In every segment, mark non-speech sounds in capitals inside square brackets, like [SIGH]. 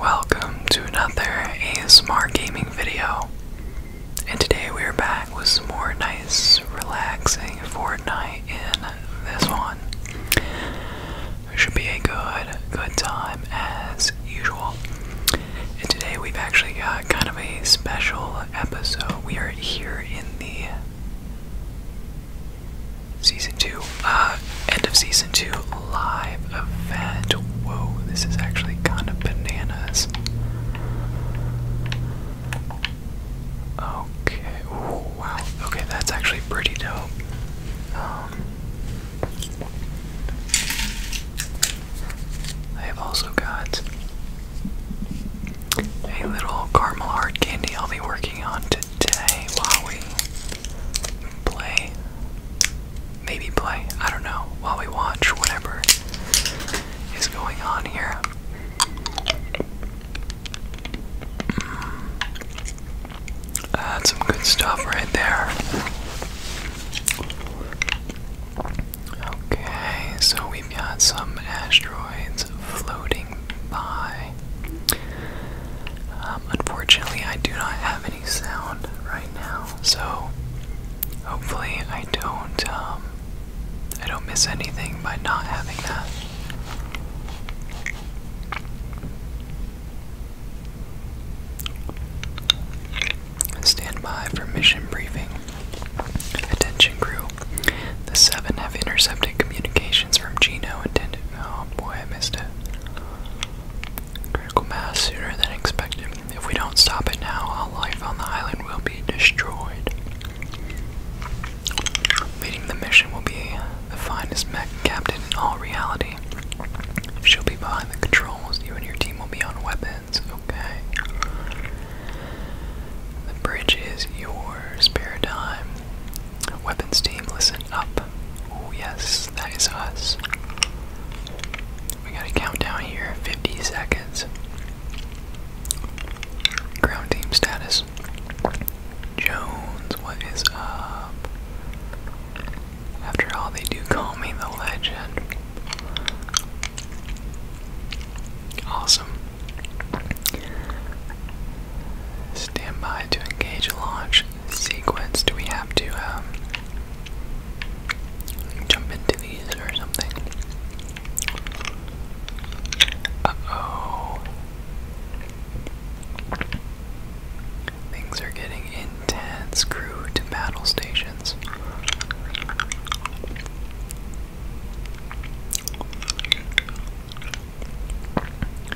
Welcome to another ASMR gaming video. And today we are back with some more nice, relaxing Fortnite in this one. It should be a good, good time as usual. And today we've actually got kind of a special episode. We are here in the season two, uh, end of season two live event. Whoa, this is actually kind of bananas. Okay, wow, okay, that's actually pretty dope. Um, I have also got a little caramel hard candy I'll be working on today while play. Maybe play. I don't know. While we watch whatever is going on here. Mm. Uh, that's some good stuff right there. Okay, so we've got some asteroids floating by. Um, unfortunately, I do not have any sound right now, so hopefully I don't um, I don't miss anything by not having that. Stand by for mission briefing. Attention crew. The seven have intercepted communications from Gino intended Oh boy, I missed it. Critical mass sooner than expected. If we don't stop it now, all life on the island will be destroyed. Leading the mission will be the finest mech captain in all reality. She'll be behind the controls. You and your team will be on weapons. Okay. The bridge is yours, paradigm. Weapons team, listen up. Oh, yes, that is us. We got a countdown here 50 seconds. Ground team status. Jones, what is up? After all, they do call me the legend. Awesome. Stand to engage launch sequence. Do we have to um, jump into these or something? Uh oh. Things are getting intense. Crew to battle stations.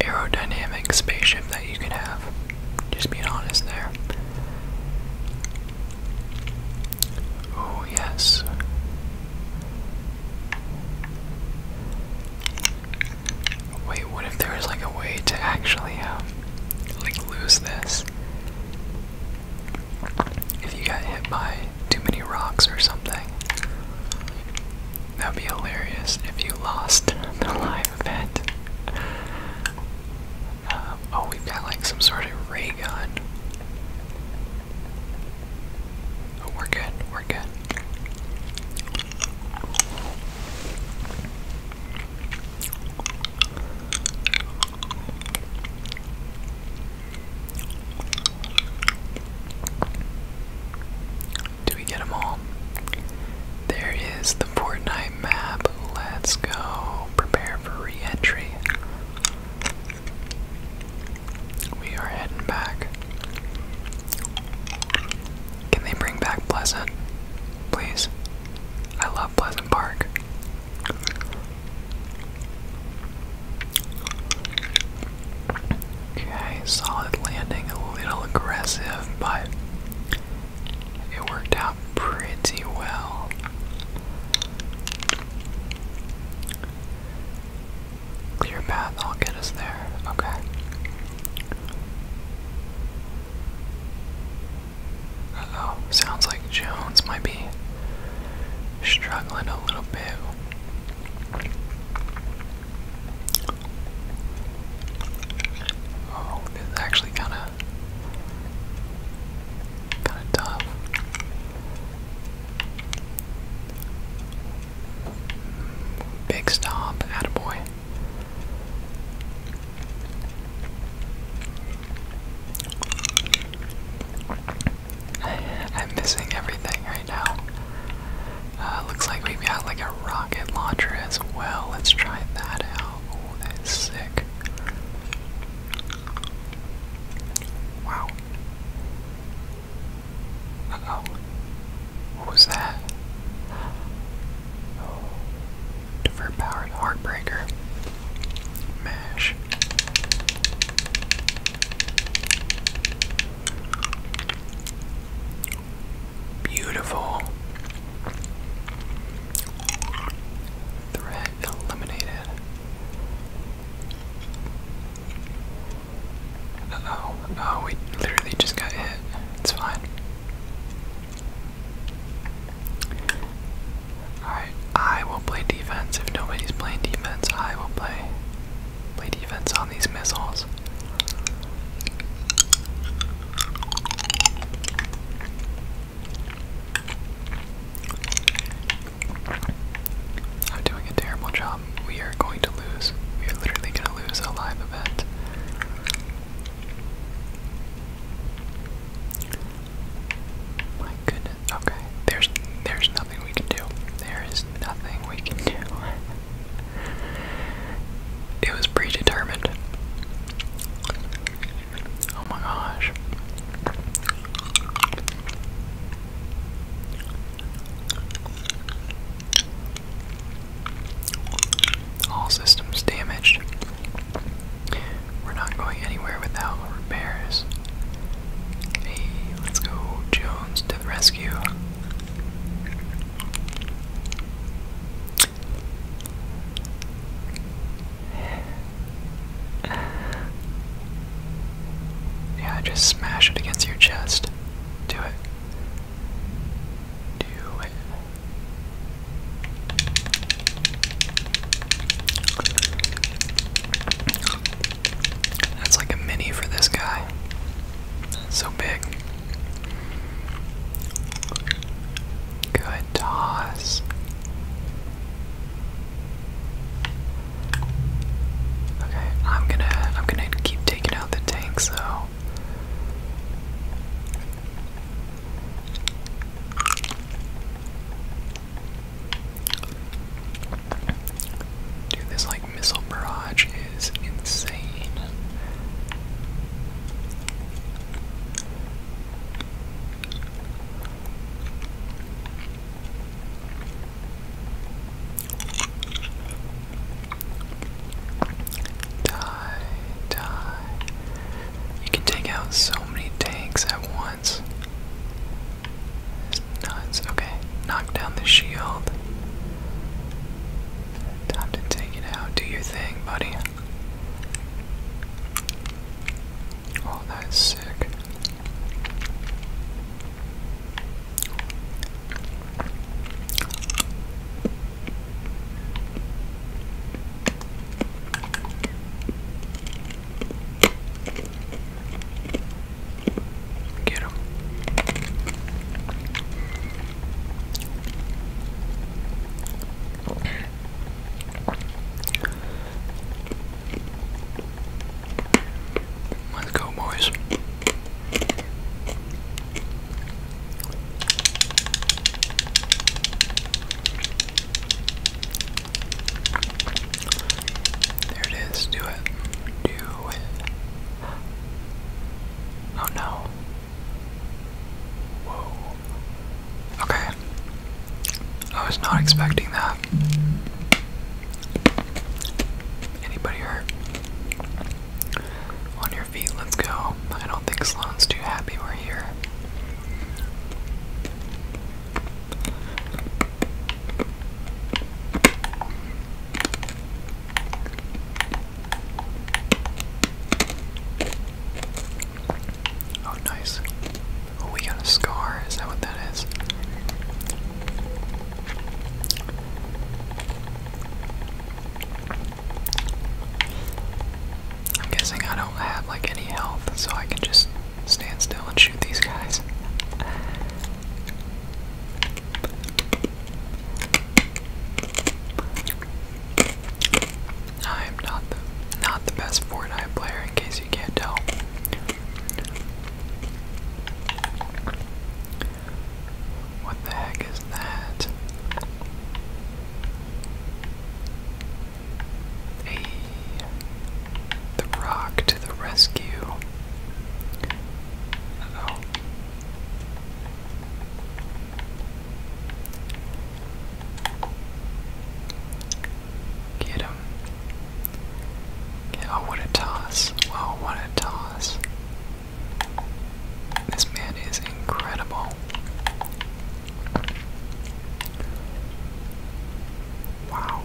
aerodynamic spaceship that you could have. Just being honest there. Oh, yes. Wait, what if there like a way to actually, um, like lose this? If you got hit by too many rocks or something. That'd be hilarious if you lost [LAUGHS] the live event. Um, oh, we've got like some sort of ray gun. Oh, we're good, we're good. Do we get them all? There is the Fortnite map. Let's go. Prepare for reentry. We are heading back. Can they bring back Pleasant? Please. I love Pleasant Park. Okay, solid landing, a little aggressive, but it worked out pretty well. Clear path, I'll get us there. Okay. Uh sounds like Jones might be struggling a little bit. Oh, it's actually kind of kind of tough. Big stomp, attaboy. I'm missing everything right now. Uh, looks like we've got like a rocket launcher as well. Let's try that out. Oh, that is sick. Wow. oh. What was that? Oh. powered heartbreaker. Mash. Beautiful. Threat eliminated. Uh Oh, we literally just got hit. It's fine. Alright, I will play defense. If nobody's playing defense, I will play Play defense on these missiles. I'm doing a terrible job. We are going to lose. We are literally going to lose a live event goodness. Okay. There's there's nothing we can do. There is nothing we can do. It was predetermined. Oh my gosh. All systems damaged. We're not going anywhere without repairs. Hey, let's go, Jones, to the rescue. Yeah, just smash it against your chest. Do it. Do it. That's like a mini for this guy. so big. Good toss. Okay, I'm gonna I'm gonna keep taking out the tanks though. Dude, this like missile barrage is insane. Die, die. You can take out so many tanks at once nuts. Okay, knock down the shield. Time to take it out. Do your thing, buddy. Oh, that's sick. Let's go, boys. There it is. Do it. Do it. Oh no. Whoa. Okay. I was not expecting that. Anybody hurt? On your feet, let's go. I don't think Sloan's too happy we're here. Oh, nice. Oh, we got a scar. Is that what that is? I'm guessing I don't have like any health, so I can just stand still and shoot these guys. I am not the not the best Fortnite player in case you can't tell. What the heck is that? Hey. The rock to the rescue. oh. Get him. oh, what a toss. Wow, what a toss. This man is incredible. Wow.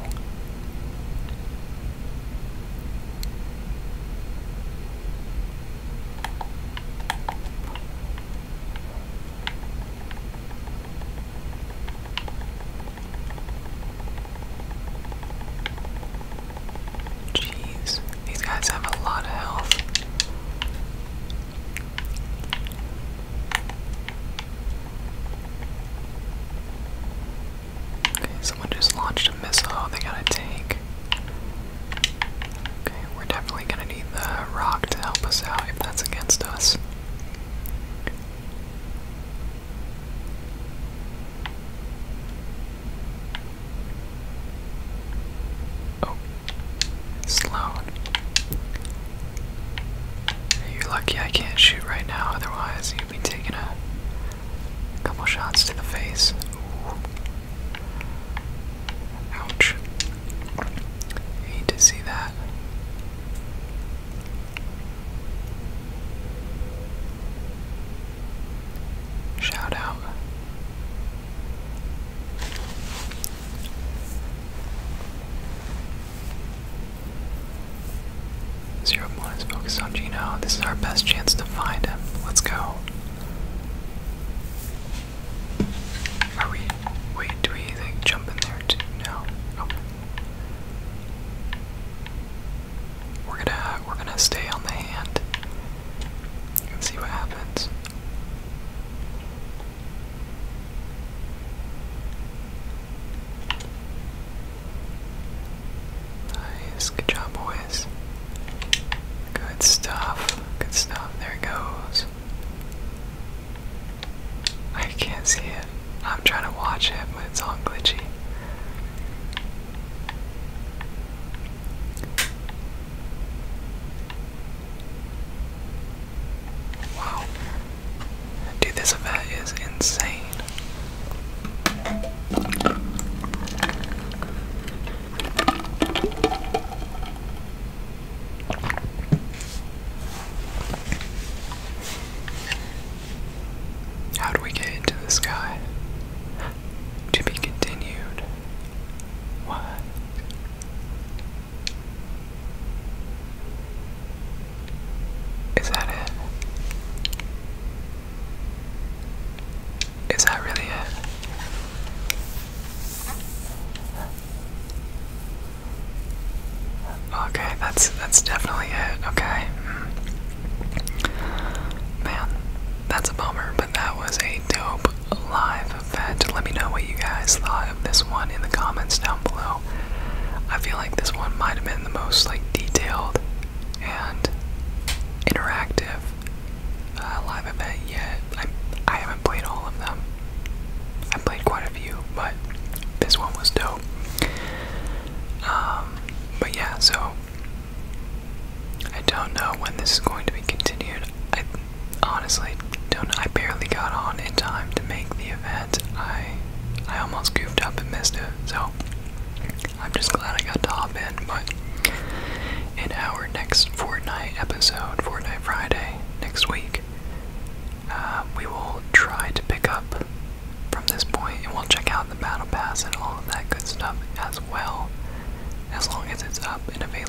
Jeez, these guys have a lot of health. Okay, someone just launched a missile they got a tank. Okay, we're definitely gonna need the rock to help us out if that's against us. Oh, Sloan. You're lucky I can't shoot right now, otherwise, you'd be taking a couple shots to the face. Ouch. hate to see that. Shout out. Zero one is focused on Gino. This is our best chance to find him. Let's go. Are we? Wait, do we jump in there too? No. Oh. We're gonna we're gonna stay on the hand see what happens. Nice, good job, boys. Good stuff, good stuff. There it goes. I can't see it. I'm trying to watch it, but it's all glitchy. Wow. Dude, this event is insane. How do we get into the sky? To be continued. What? Is that it? Is that really it? Okay, that's that's definitely it. Okay. Mm. Man, that's a bummer, but that was a dope live event. Let me know what you guys thought of this one in the comments down below. I feel like this one might have been the most like detailed and interactive uh, live event yet. I I haven't played all of them. I played quite a few, but this one was dope. Um, but yeah, so I don't know when this is going to be continued. I honestly, don't I barely got on in time to make the event. I I almost goofed up and missed it, so I'm just glad I got to hop in. But in our next Fortnite episode, Fortnite Friday next week, uh, we will try to pick up from this point, and we'll check out the battle pass and all of that good stuff as well, as long as it's up and available.